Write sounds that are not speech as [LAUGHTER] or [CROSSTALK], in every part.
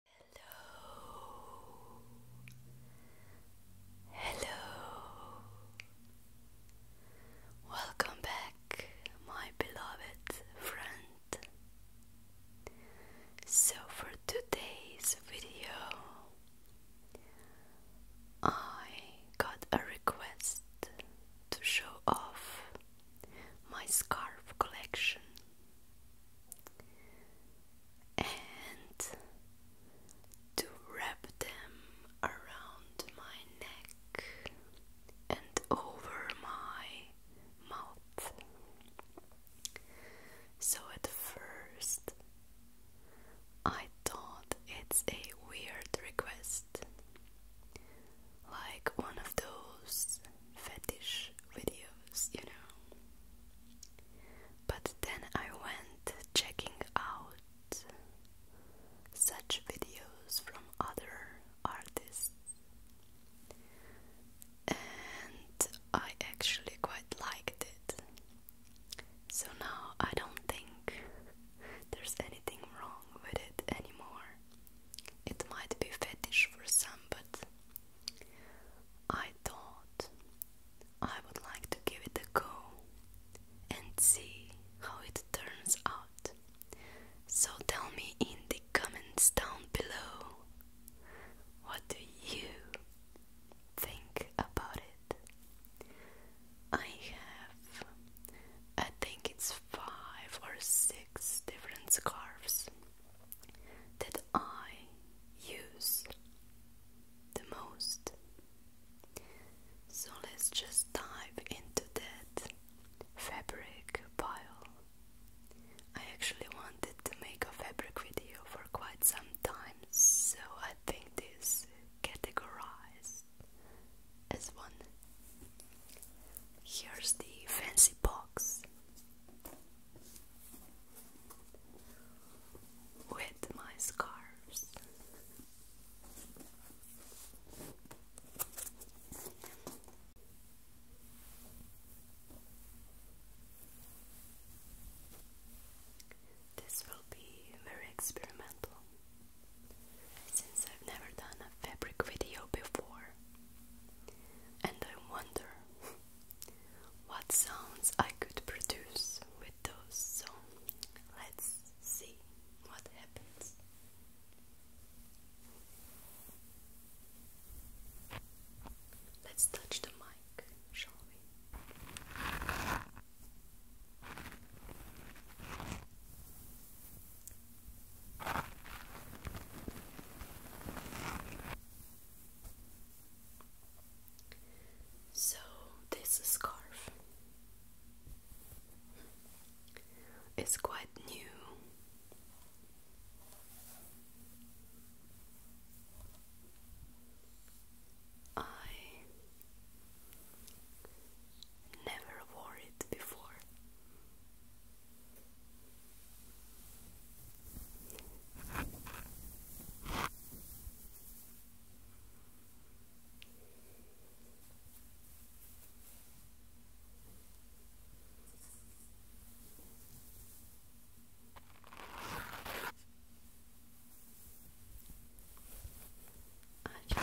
Hello. Hello. Welcome back, my beloved friend. So, for today's video, I got a request to show off my scarf collection and to wrap them around my neck and over my mouth. So at first, I thought it's a weird request, like one of those fetish videos, you know. But then I went checking out such videos from other artists, and I actually quite liked it. So now I don't think there's anything wrong with it anymore. It might be fetish for some, but I thought I would like to give it a go and see how it turns out. So tell me in the comments down below what do you think about it? I have, I think it's five or six different scarves that I use the most. So let's just dive into that fabric pile. I actually wanted to make a fabric video for quite some time, so I think this categorized as one. Here's the fancy box with my scars, This will be very experimental since I've never done a fabric video before. And I wonder what sounds I could produce with those. So let's see what happens. Let's touch the mic, shall we? So, this scarf is quite new. I never wore it before. I'm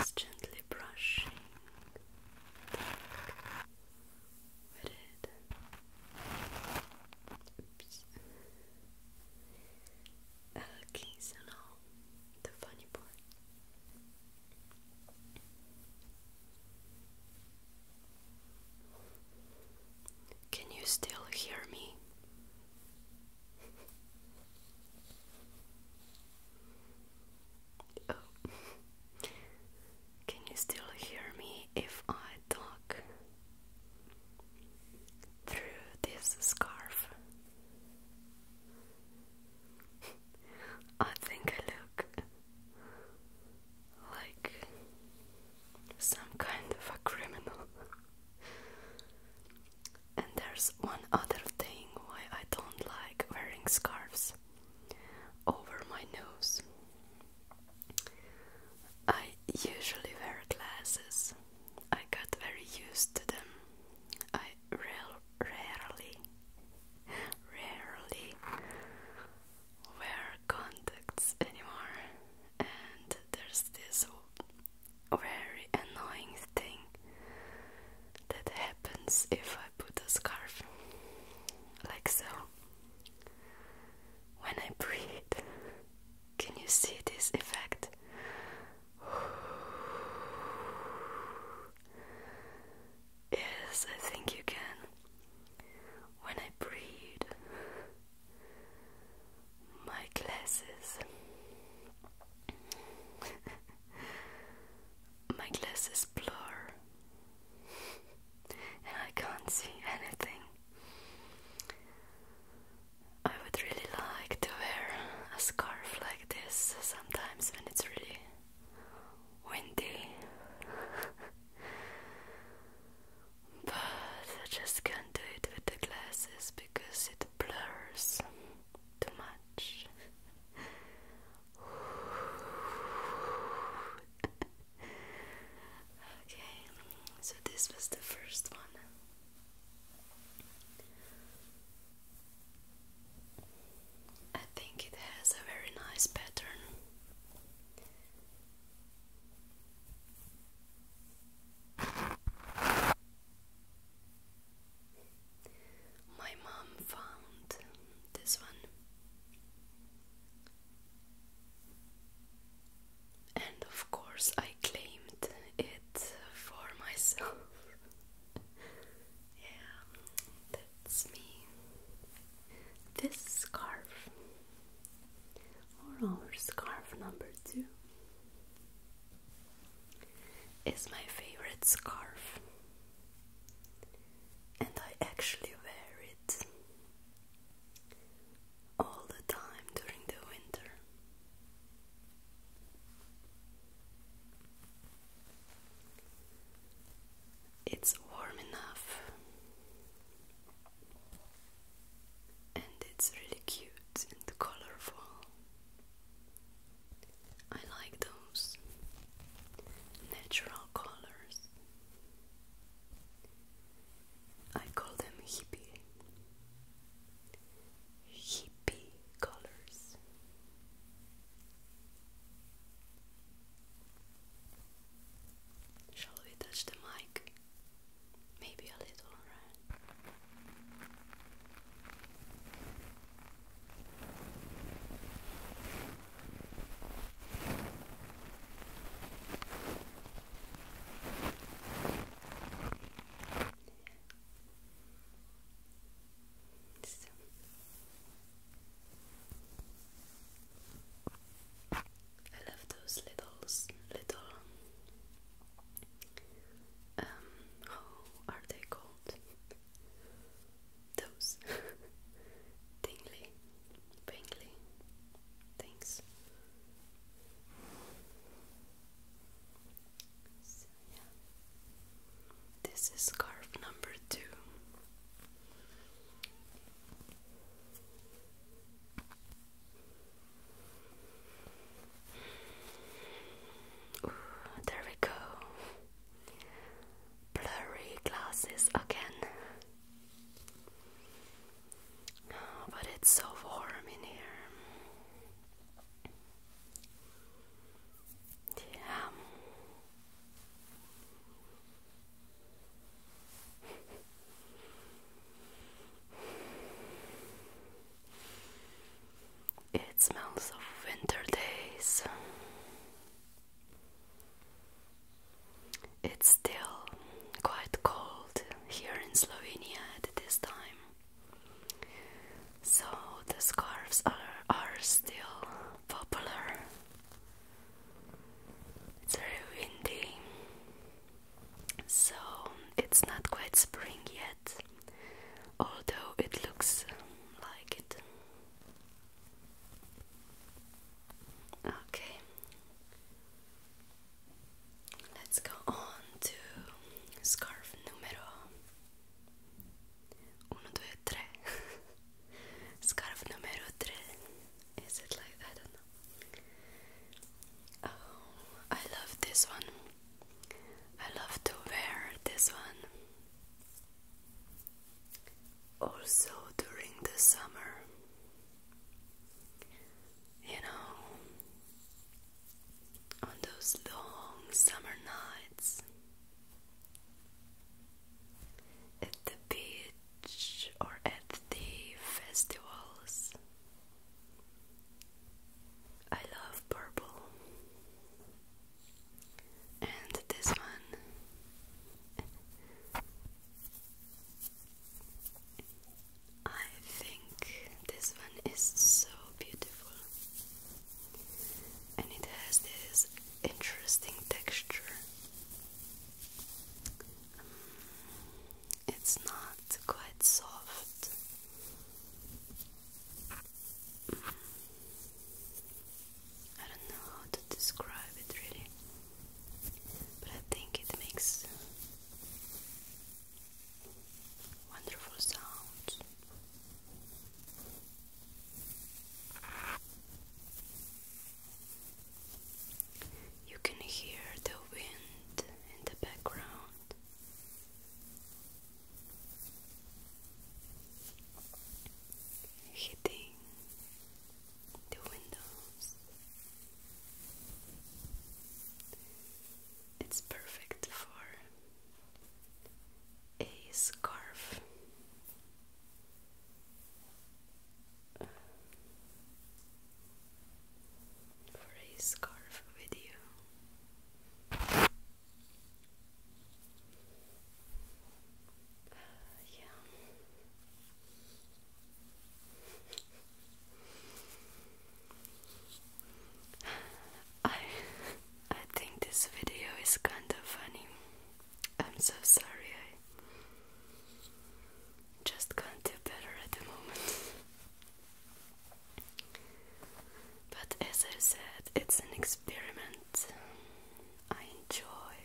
just gently brushing read it. Oops. Okay, so now the funny part. Can you still hear me? Oh. Can you still hear me if I talk through this scarf? I think I look like some kind of a criminal. and there's one other thing why I don't like wearing scarves over my nose. I usually wear glasses. I got very used to them. I rarely, rarely wear contacts anymore, and there's this very annoying thing that happens if I I put the scarf like so. When I breathe, can you see this effect? Yes, I think you can. When I breathe, my glasses [LAUGHS] my glasses blur and I can't see anything. I would really like to wear a scarf like this sometimes when it's really windy, but I just can't do it with the glasses because it blurs too much okay, so this was the first one. I think it has a very nice pattern. My mom found this one. And of course, I claimed it for myself. [LAUGHS] yeah, that's me. This scarf, or our scarf number two, is my favorite scarf, and I actually wear it all the time during the winter. It's warm enough and it's really cute and colorful. I like those natural colors. I call them hippie. Hippie colors. Shall we touch the mic? Maybe a little, so. I love those little, little, um, how are they called? those tingly, [LAUGHS] pingly things. This is scarf number two there we go. Blurry glasses again. Oh, but it's so warm in here. Yeah. It smells of winter days. It's still quite cold here in Slovenia at this time. So the scarves are, are still popular. It's very windy. So it's not quite spring yet although it looks um, like it. Okay, let's go on to scarf numero uno, due, tre. [LAUGHS] scarf numero tre. Is it like I don't know? Oh, I love this one. I love to wear this one also during the summer. You know, on those long summer nights at the beach or at the festivals. I love purple, and this one. I think this one is so beautiful and it has this interesting texture. it's not it's quite soft. I don't know how to describe it really, but I think it makes wonderful sounds. You can hear the wind in the background hitting the windows. It's perfect for a scarf for a scarf video. yeah. [SIGHS] I I think this video is kind of funny. I'm so sorry. I just can't do better at the moment. [LAUGHS] But as I said, it's an experiment. I enjoy.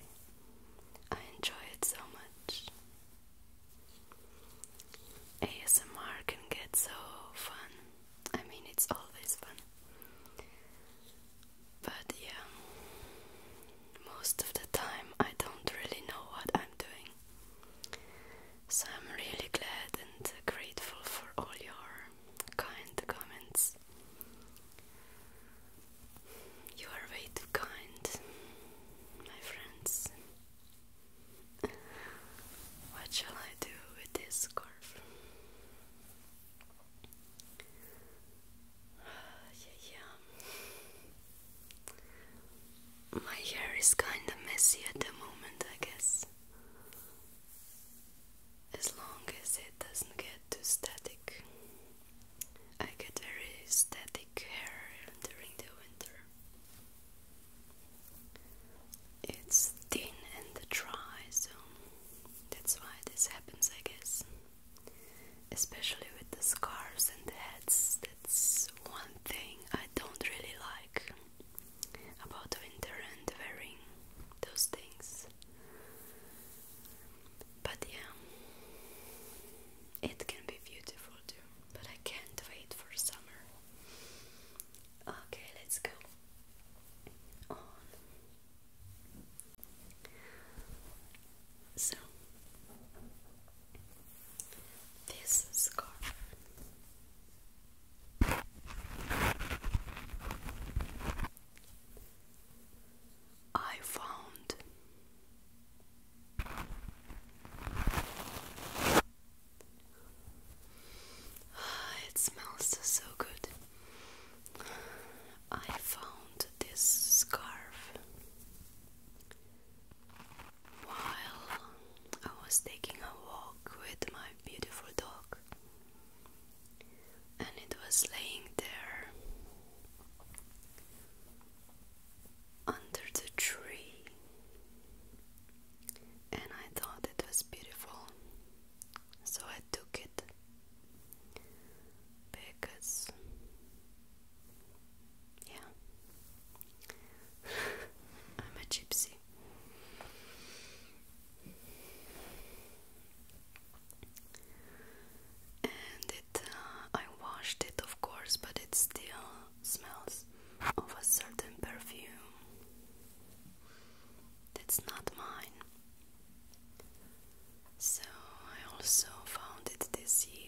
I enjoy it so much. ASMR can get so fun. I mean, it's always fun. But yeah, most of the time I don't really know what I'm doing. So I'm really glad and grateful for all your kind comments. You are way too kind, my friends. What shall I do with this scarf? Uh, [SIGHS] My hair is kinda messy at the moment, I guess. As long as it doesn't get too static. I get very static hair during the winter. It's thin and dry, so that's why this happens, I guess. Especially with the scars and the hats, that's one thing I don't really like about winter and wearing those things. But yeah, it can be beautiful too. But I can't wait for summer. Okay, let's go So, this scarf. I found ah, it smells so good. I found this scarf while I was taking a walk with my beautiful dog, and it was laying there under the tree, and I thought it was beautiful, so I took it because yeah. [LAUGHS] I'm a gypsy. And it, uh, I washed it, of course, but it still smells of a certain perfume that's not mine. So I also found it this year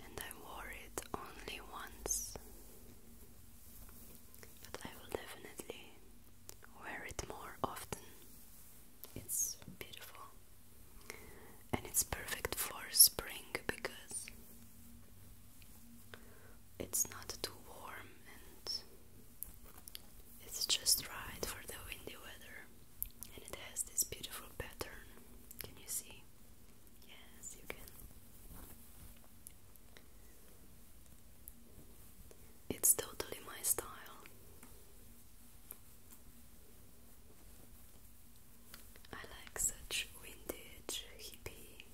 and I wore it only once, but I will definitely wear it more often. It's beautiful and it's perfect for spring because it's not too warm and it's just right for the windy weather and it has this beautiful pattern. Can you see? Yes, you can. It's totally my style. I like such vintage hippie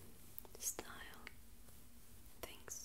style things.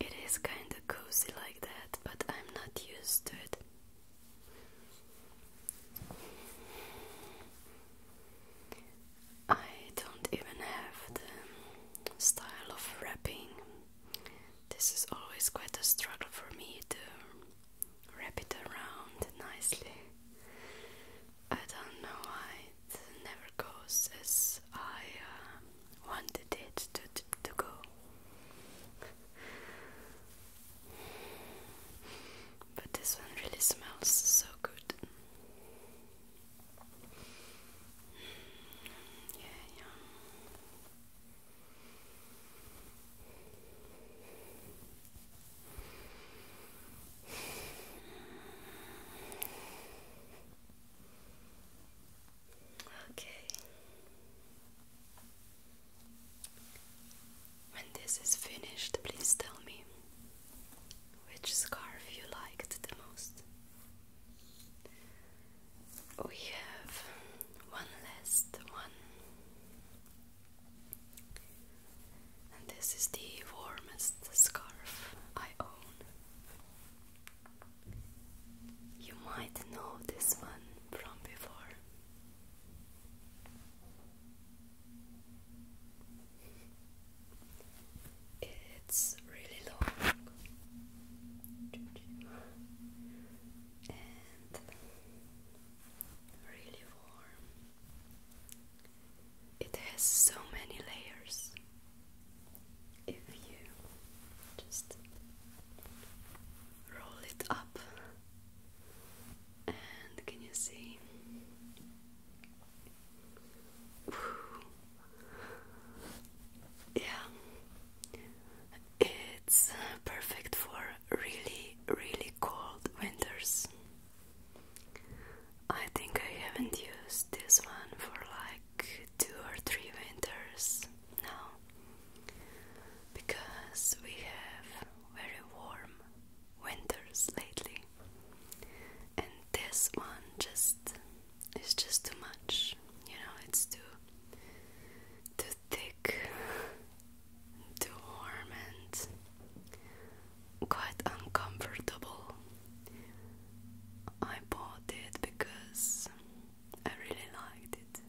It is kinda cozy like that, but I'm not used to it. I don't even have the style of wrapping. This is always quite a struggle for me to wrap it around nicely. I don't know why it never goes as I uh, wanted it to, to go. But this one really smells so good. Yeah, yeah. Okay. When this is finished, please tell me which scarf you liked the most? We have one last one, and this is the warmest scarf I own. You might know this one from before. It's really long and really warm. It has so many layers. If you just roll it up, and can you see? Yeah, it's uh, perfect for really, really cold winters. I think I haven't used this one for like two or three winters now because we have very warm winters lately, and this one just is just too much. You know, it's too too thick, too warm, and quite uncomfortable. I bought it because I really liked it.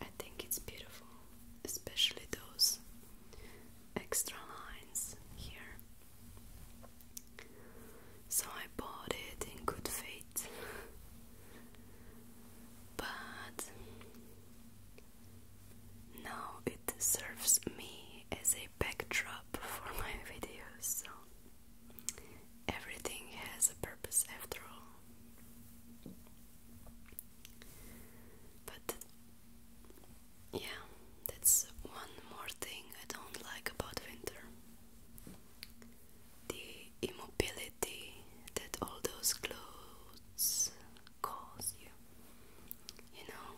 I think it's beautiful, especially those extra lines here. So I bought it in good faith, but now it serves me as a backdrop for my [LAUGHS] videos, so everything has a purpose after all. But yeah, that's one more thing I don't like about winter the immobility that all those clothes cause you. You know,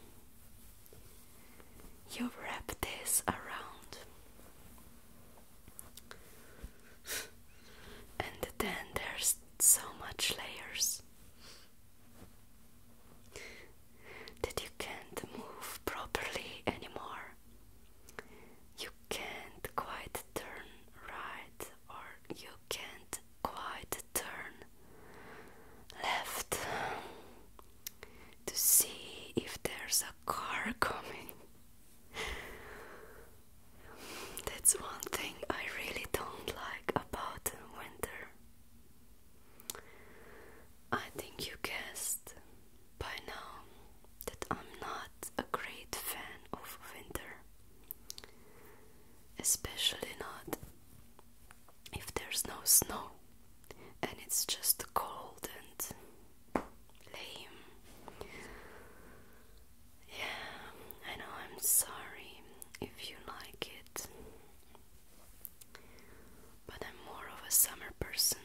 you wrap this around. And then there's so much layers that you can't move properly anymore. You can't quite turn right, or you can't quite turn left to see if there's a car [LAUGHS] coming. That's one thing I really don't like about winter. I think you guessed by now that I'm not a great fan of winter, especially not if there's no snow and it's just cold and lame. Yeah, I know I'm sorry if you like it. But I'm more of a summer person.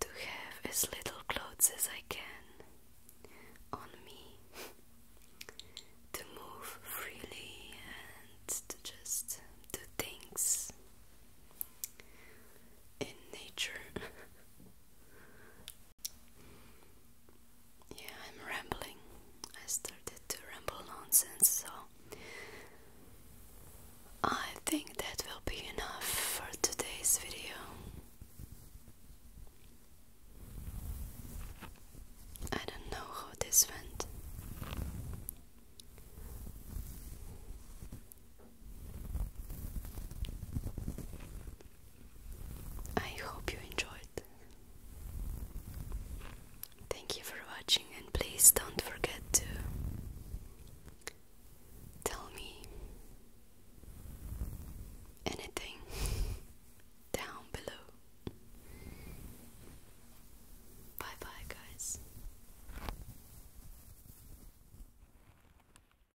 To have as little clothes as I can on me. To move freely and to just do things in nature [LAUGHS] Yeah, I'm rambling. I started to ramble nonsense, so I think that will be enough for today's video. I don't know how this went. I hope you enjoyed. Thank you for watching, and please don't forget to tell me anything [LAUGHS] down below. Bye bye, guys.